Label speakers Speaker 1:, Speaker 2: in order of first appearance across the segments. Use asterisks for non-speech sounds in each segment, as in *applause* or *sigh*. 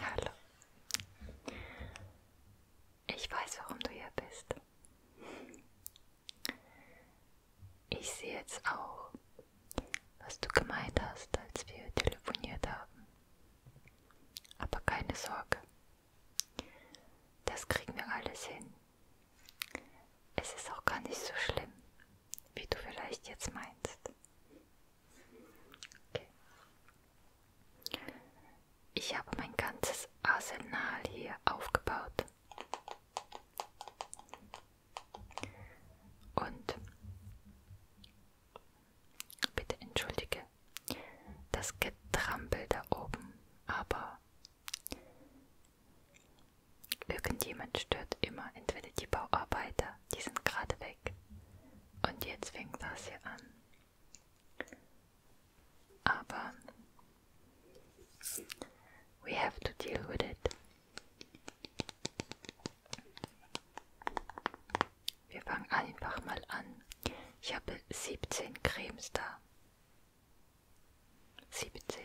Speaker 1: Hallo. Ich weiß, warum du hier bist. Ich sehe jetzt auch, was du gemeint hast, als wir telefoniert haben. Aber keine Sorge, das kriegen wir alles hin. Es ist auch gar nicht so schlimm, wie du vielleicht jetzt meinst. Okay. Ich habe mein ganzes Arsenal hier aufgebaut. Und bitte entschuldige, das Getrampel da oben, aber irgendjemand stört immer, entweder die Bauarbeiter, die sind gerade weg und jetzt fängt das hier an. Aber we have to deal with it. Wir fangen einfach mal an. Ich habe 17 Cremes da. 17.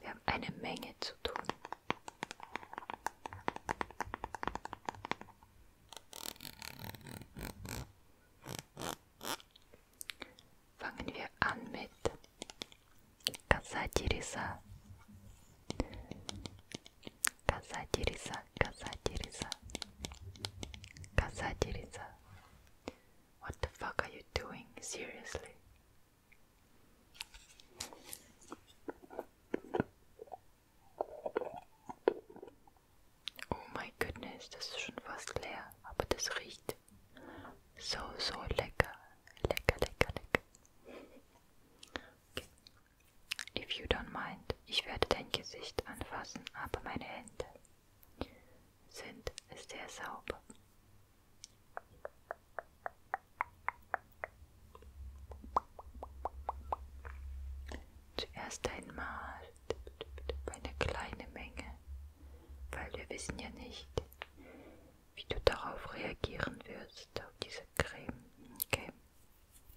Speaker 1: Wir haben eine Menge zu tun. Fangen wir an mit Kasatirisa. Kazadiriza, Kazadiriza, Kazadiriza. What the fuck are you doing? Seriously. Oh mein Goodness, das ist schon fast leer, aber das riecht so, so lecker. If you don't mind, ich werde dein Gesicht anfassen, aber meine Hände sind sehr sauber. Zuerst einmal eine kleine Menge, weil wir wissen ja nicht, wie du darauf reagieren wirst, auf diese Creme. Okay.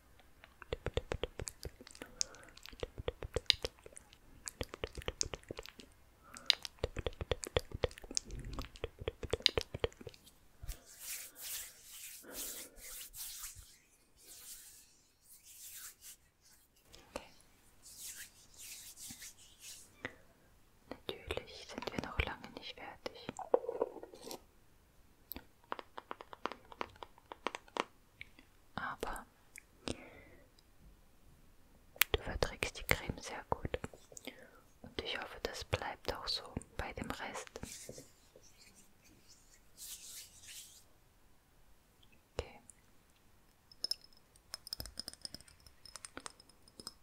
Speaker 1: Natürlich sind wir noch lange nicht fertig. Aber du verträgst die Creme sehr gut. Und ich hoffe, das bleibt auch so bei dem Rest. Okay.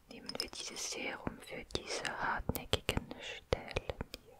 Speaker 1: Nehmen wir dieses Serum für diese hartnäckigen Stellen hier.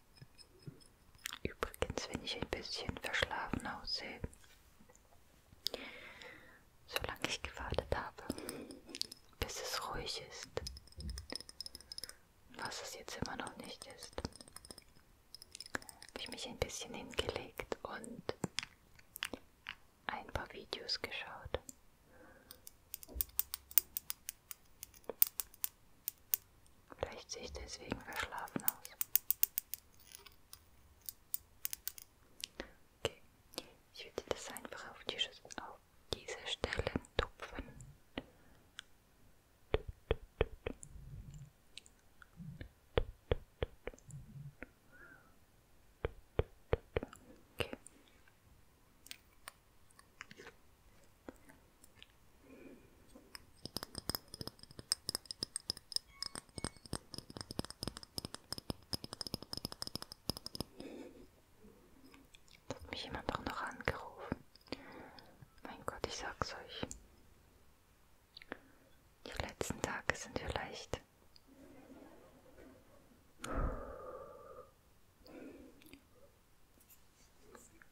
Speaker 1: Übrigens, wenn ich ein bisschen verschlafen aussehe, solange ich gewartet habe, bis es ruhig ist, was es jetzt immer noch nicht ist, habe ich mich ein bisschen hingelegt und ein paar Videos geschaut. Vielleicht sehe ich deswegen verschlafen aus. Okay, ich würde das einfach auf, die, auf diese Stelle tupfen. Okay. Das hat mich jemand auch noch angerufen. Mein Gott, ich sag's euch. Die letzten Tage sind vielleicht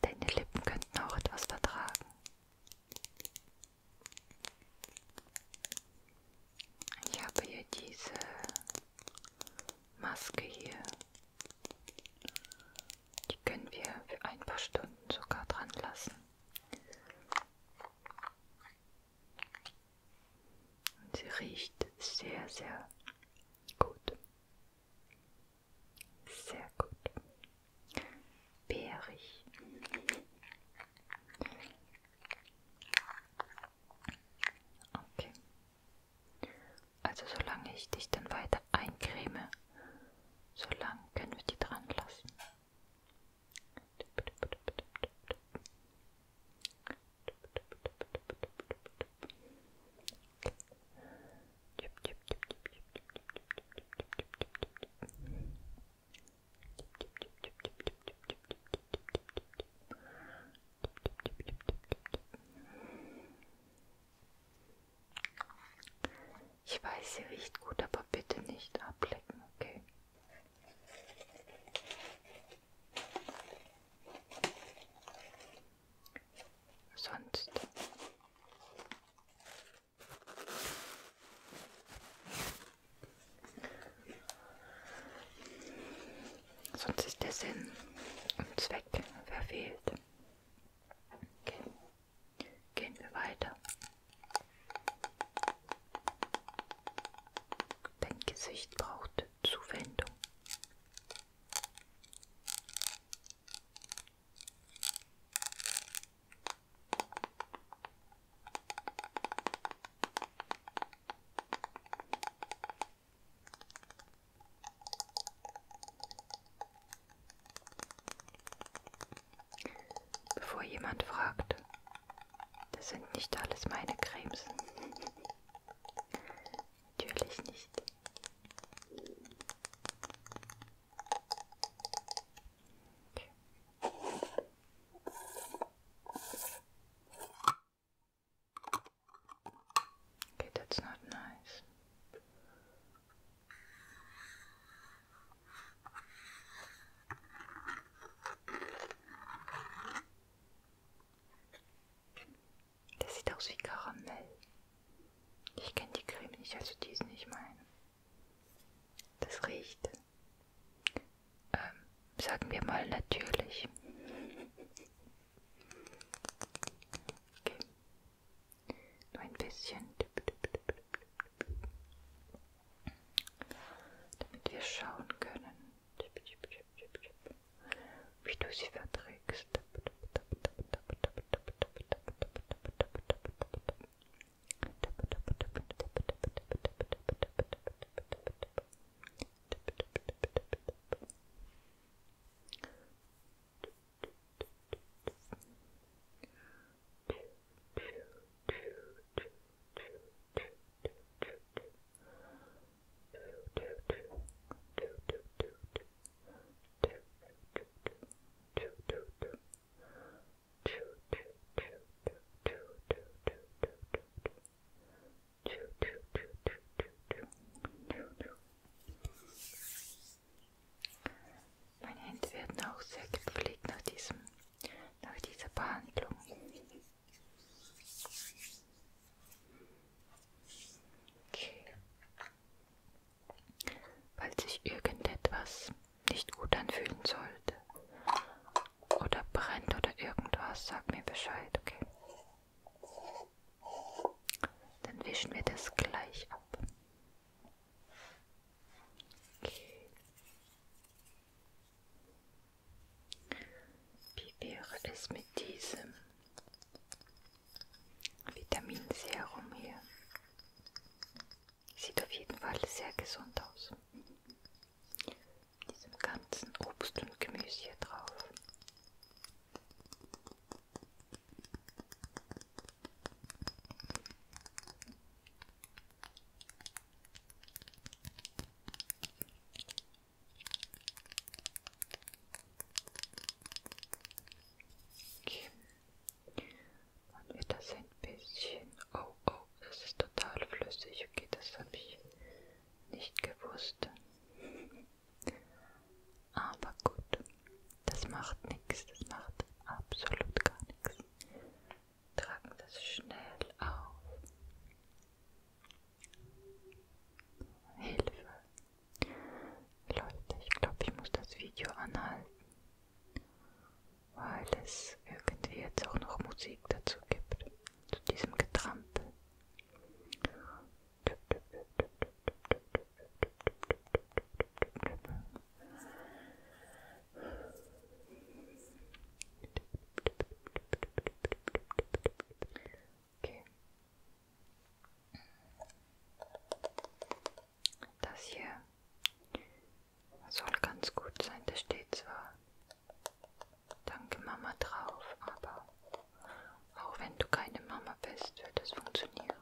Speaker 1: Deine Lippen könnten auch etwas vertragen. Ich habe hier diese Maske hier. Die können wir für ein paar Stunden sogar dran lassen. Und sie riecht sehr, sehr gut. Sehr gut. Beerig. Okay. Also solange ich dich dann weiter eincreme, solange können wir die dran lassen. Ich weiß, sie riecht gut, aber bitte nicht ablecken, okay? Sonst. Sonst ist der Sinn und Zweck verfehlt. Okay. Gehen wir weiter. Dein Gesicht braucht Zuwendung. Bevor jemand fragt, das sind nicht alles meine Cremes. Natürlich nicht. Okay, that's not nice. Der sieht aus wie Karamell. Ich kenne die Creme nicht, also die ist nicht meine. Das riecht, ähm, sagen wir mal, natürlich. Okay. Nur ein bisschen damit wir schauen können, wie du sie verträgst. Thank meine Hände werden auch sehr gepflegt nach diesem, nach dieser Behandlung. Falls sich irgendetwas nicht gut anfühlen sollte oder brennt oder irgendwas, sag mir Bescheid, okay? Dann wischen wir das gleich ab. Okay. Wie wäre es mit diesem Vitaminserum hier? Sieht auf jeden Fall sehr gesund aus. Mit diesem ganzen Obst und Gemüse hier drauf. Okay. Und wird das ein bisschen... Oh, oh, das ist total flüssig. Okay, das habe ich nicht gewusst. *laughs* Aber gut, das macht nichts. Das macht absolut gar nichts tragen das schnell auf. Hilfe. Leute, ich glaube, ich muss das Video anhalten, weil es irgendwie jetzt auch noch Musik dazu gibt, zu diesem Getrampel. Okay. Das hier soll ganz gut sein. Da steht zwar Danke Mama drauf, aber auch wenn du keine Mama bist, wird es funktionieren.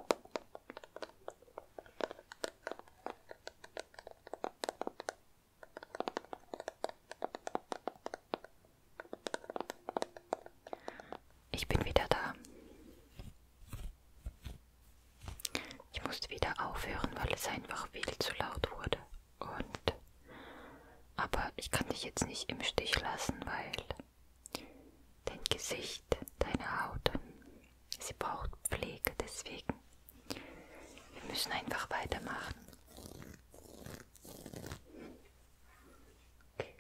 Speaker 1: Ich bin wieder da. Ich musste wieder aufhören, weil es einfach viel zu laut wurde. Und aber ich kann dich jetzt nicht im Stich lassen, weil dein Gesicht, deine Haut, sie braucht Pflege, deswegen wir müssen einfach weitermachen. Okay.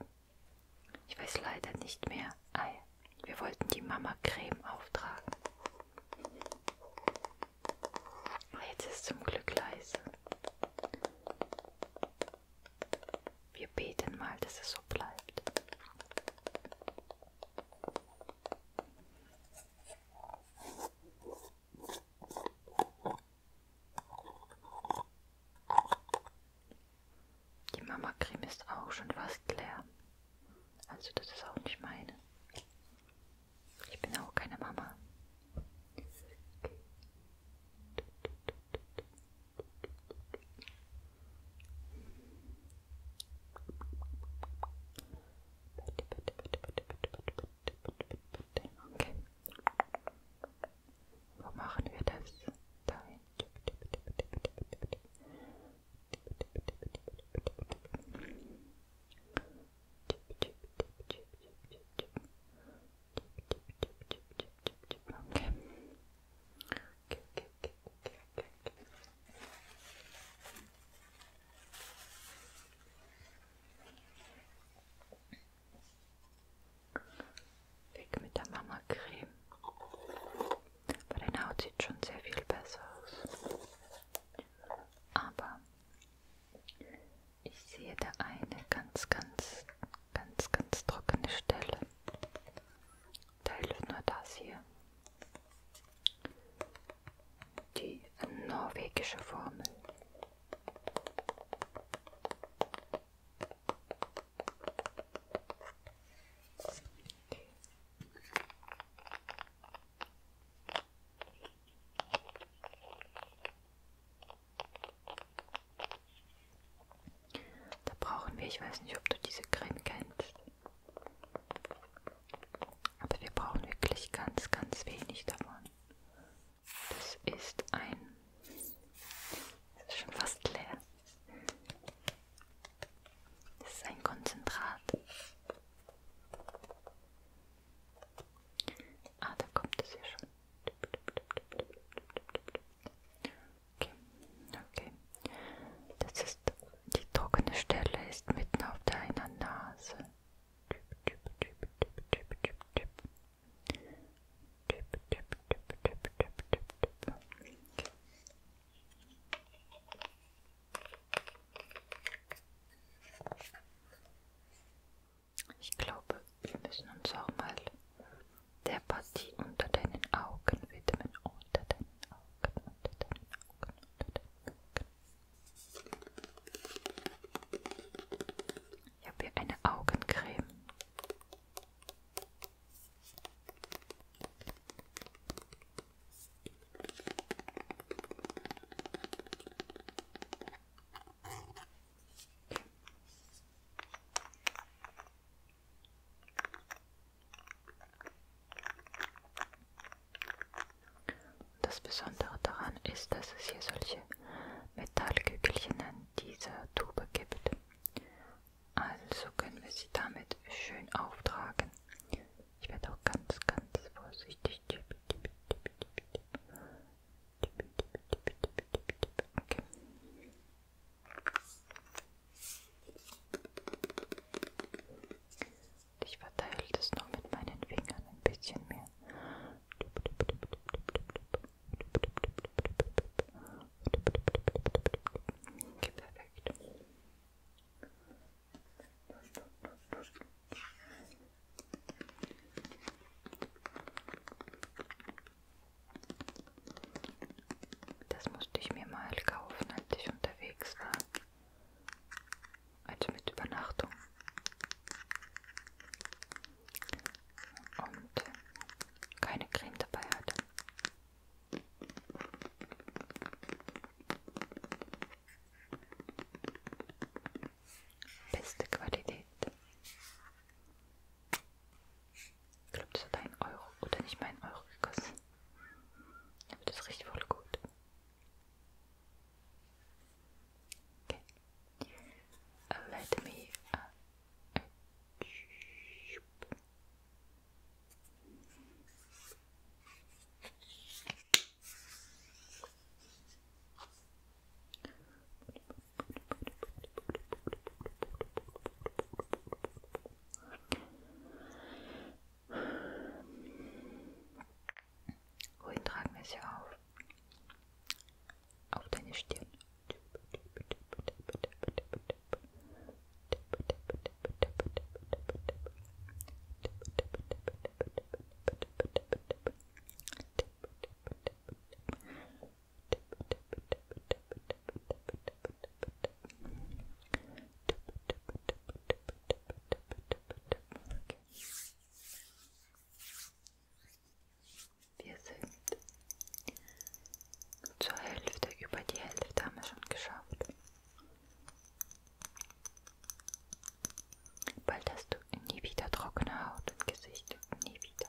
Speaker 1: Ich weiß leider nicht mehr. Ei, ah wir wollten die Mama Creme auftragen. Ah, jetzt ist zum Glück leise. Wir beten mal, dass es so bleibt. Die Mama-Creme ist auch schon fast leer. Also das ist auch nicht meine. Ich bin auch keine Mama. Bitte, bitte, bitte, bitte, bitte, bitte, bitte, bitte, bitte, Okay. Wo machen wir das? Dahin. Okay. Okay, okay, okay, okay, okay. Weg mit der Mama Creme. Bei deiner Haut sieht schon sehr viel besser aus. Aber ich sehe da eine ganz, ganz, ganz, ganz trockene Stelle. Da hilft nur das hier. Die norwegische Formel. Da brauchen wir, ich weiß nicht, ob du diese Creme kennst. Aber wir brauchen wirklich ganz, ganz wenig davon. Das ist ein. Das ist schon fast leer. Das ist ein Konzentrat. Ah, da kommt es ja schon. Okay, okay. Das ist die trockene Stelle ist mitten auf deiner Nase. Ich glaube, wir müssen uns auch mal der Partie unter deinen Augen widmen. Unter deinen Augen, unter deinen Augen, unter deinen Augen. Ich habe hier eine Augencreme. Das Besondere daran ist, dass es hier solche Metallkügelchen an dieser Tube gibt. Also können wir sie damit schön auftragen. Ich werde auch ganz, ganz vorsichtig. Okay. Ich verteile das noch mit meinen Fingern ein bisschen mehr. Okay, perfekt. Das musste ich mir mal kaufen, als ich unterwegs war als mit Übernachtung. Und keine Creme dabei hatte. Beste Qualität. Ich glaube, das hat einen Euro oder nicht mal einen Euro gekostet. Aber das riecht voll gut. Okay. Uh, let me. Uh, Wohin tragen wir sie auf? Auf deine Stirn. Wir sind zur Hälfte, über die Hälfte haben wir schon geschafft. Bald hast du nie wieder trockene Haut und Gesicht. Nie wieder.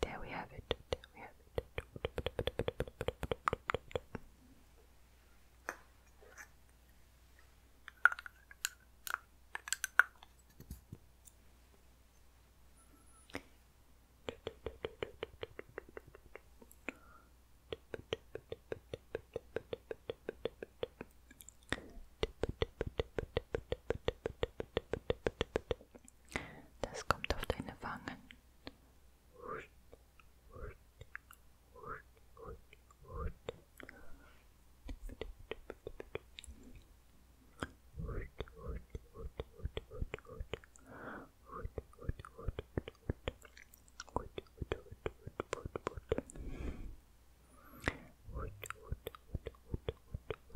Speaker 1: There we have it. There we have it. bitte, bitte, bitte, bitte, bitte, bitte, bitte. Das kommt auf deine Wangen.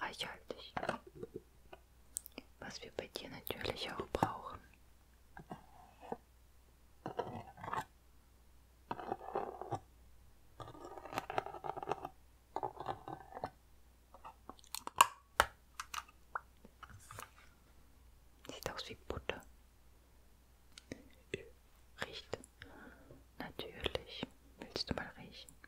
Speaker 1: reichhaltig. Was wir bei dir natürlich auch brauchen. Sieht aus wie Butter. Riecht natürlich. Willst du mal riechen?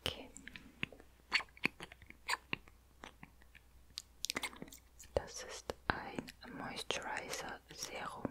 Speaker 1: Okay. Das ist ein Moisturizer Serum.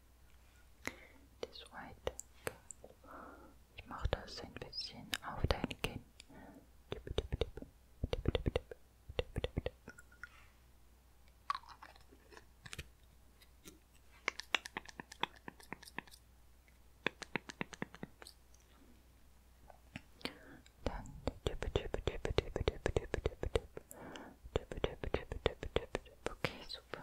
Speaker 1: Das White. Ich mache das ein bisschen auf dein Kinn. Dann Okay, super.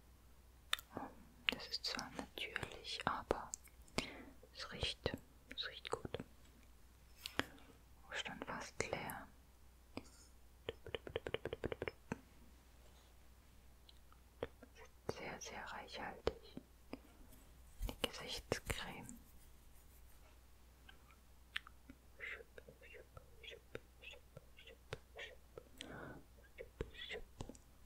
Speaker 1: Ähm, das ist zwar natürlich, aber es riecht, es riecht gut. Stand fast leer. Sehr, sehr reichhaltig. Die Gesichtscreme.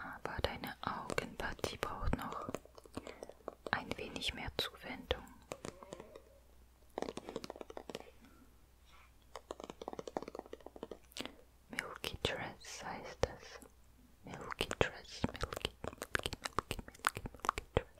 Speaker 1: Aber deine Augenpartie braucht noch ein wenig mehr Zuwendung. Milky Dress heißt es. Milky Dress, Milky, Milky, Milky, Milky, Milky Dress.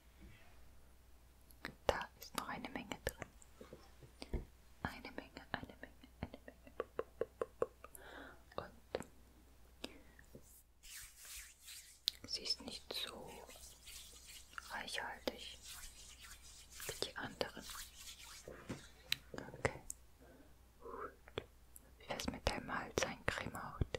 Speaker 1: Da ist noch eine Menge drin. Eine Menge, eine Menge, eine Menge. Und sie ist nicht so reichhaltig wie die anderen. Okay. Wie wär's mit der Malzeincreme Haut?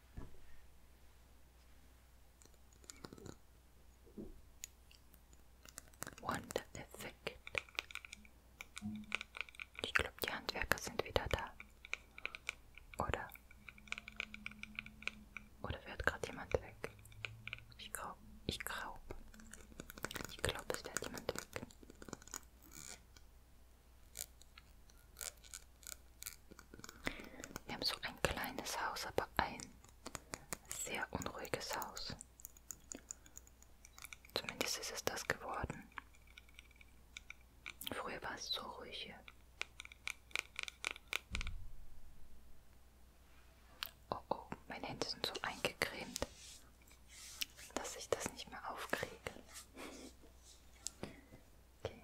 Speaker 1: Und perfekt. Ich glaube, die Handwerker sind wieder da. Oder? Oder wird gerade jemand weg? Ich glaube, ich glaube. Ich glaube, es wird jemand weg. Wir haben so ein kleines Haus, aber ein sehr unruhiges Haus. Zumindest ist es das geworden. Früher war es so ruhig hier. Oh oh, meine Hände sind so eingecremt, dass ich das nicht mehr aufkriege. *laughs* Okay.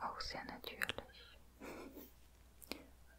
Speaker 1: Auch sehr natürlich.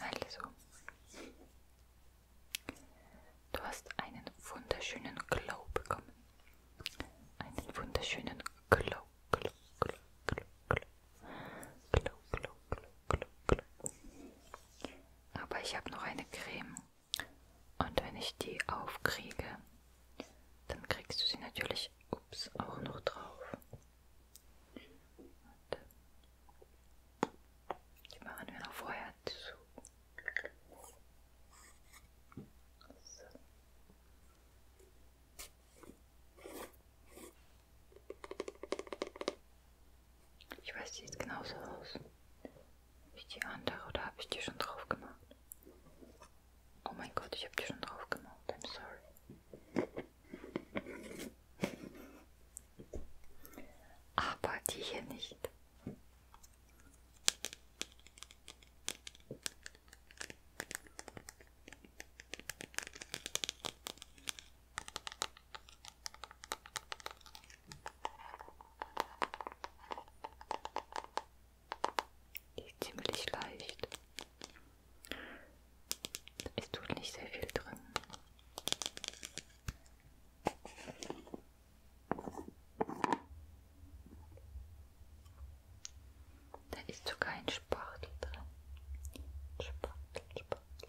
Speaker 1: Also, du hast einen wunderschönen Glow bekommen. Einen wunderschönen Glow, Glow, Glow, Glow, Glow, Klo, klo, klo, klo, klo. Aber ich habe noch eine Creme. Und wenn ich die aufkriege, dann kriegst du sie natürlich ups, auch noch drauf. Und die machen wir noch vorher zu. So. Ich weiß, die sieht genauso aus wie die andere, oder habe ich die schon drauf gemacht? Oh mein Gott, ich habe die schon drauf gemacht. I'm sorry. Aber die hier nicht. Die ist ziemlich leicht. Es tut nicht sehr viel drin. Da ist sogar ein Spachtel drin. Spachtel, Spachtel.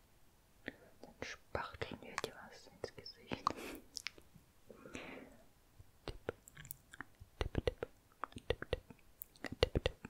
Speaker 1: Dann spachteln wir dir was ins Gesicht. Tipp, tipp, tipp, tipp, tipp, tipp, tipp.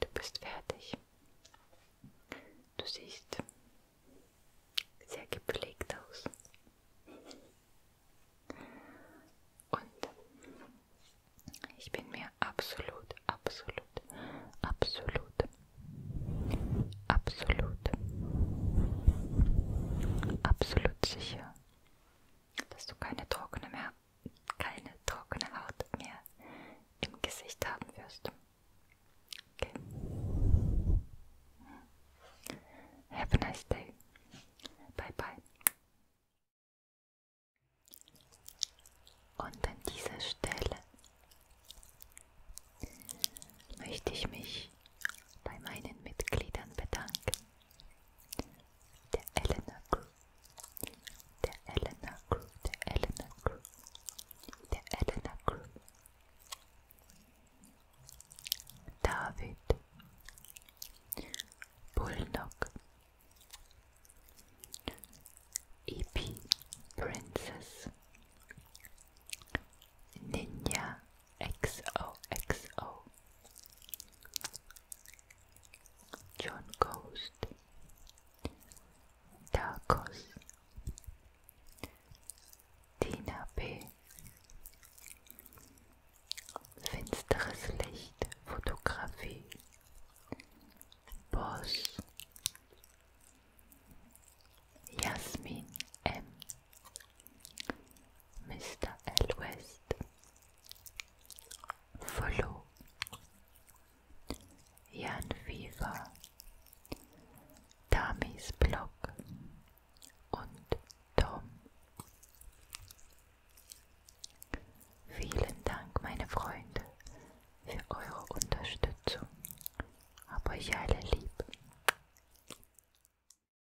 Speaker 1: Du bist fertig. Du siehst sehr gepflegt aus. Und ich bin mir absolut, absolut, absolut, absolut, absolut sicher, dass du keine trockene, mehr, keine trockene Haut mehr im Gesicht haben wirst. Okay. Hm. Have a nice day. Bye bye. Und an dieser Stelle möchte ich mich bei meinen Mitgliedern bedanken. The Eleanor group, The Eleanor group, The Eleanor group, The Eleanor group. David. Bulldog. E.P. Princess. Ninja XOXO. XO. John Ghost. Darkos. Tina B. Finsteres Licht, Fotografie. Boss. Jasmin M. Mr. L. West, Follow, Jan Fever, Tamis Blog und Tom. Vielen Dank, meine Freunde, für eure Unterstützung. Hab euch alle lieb.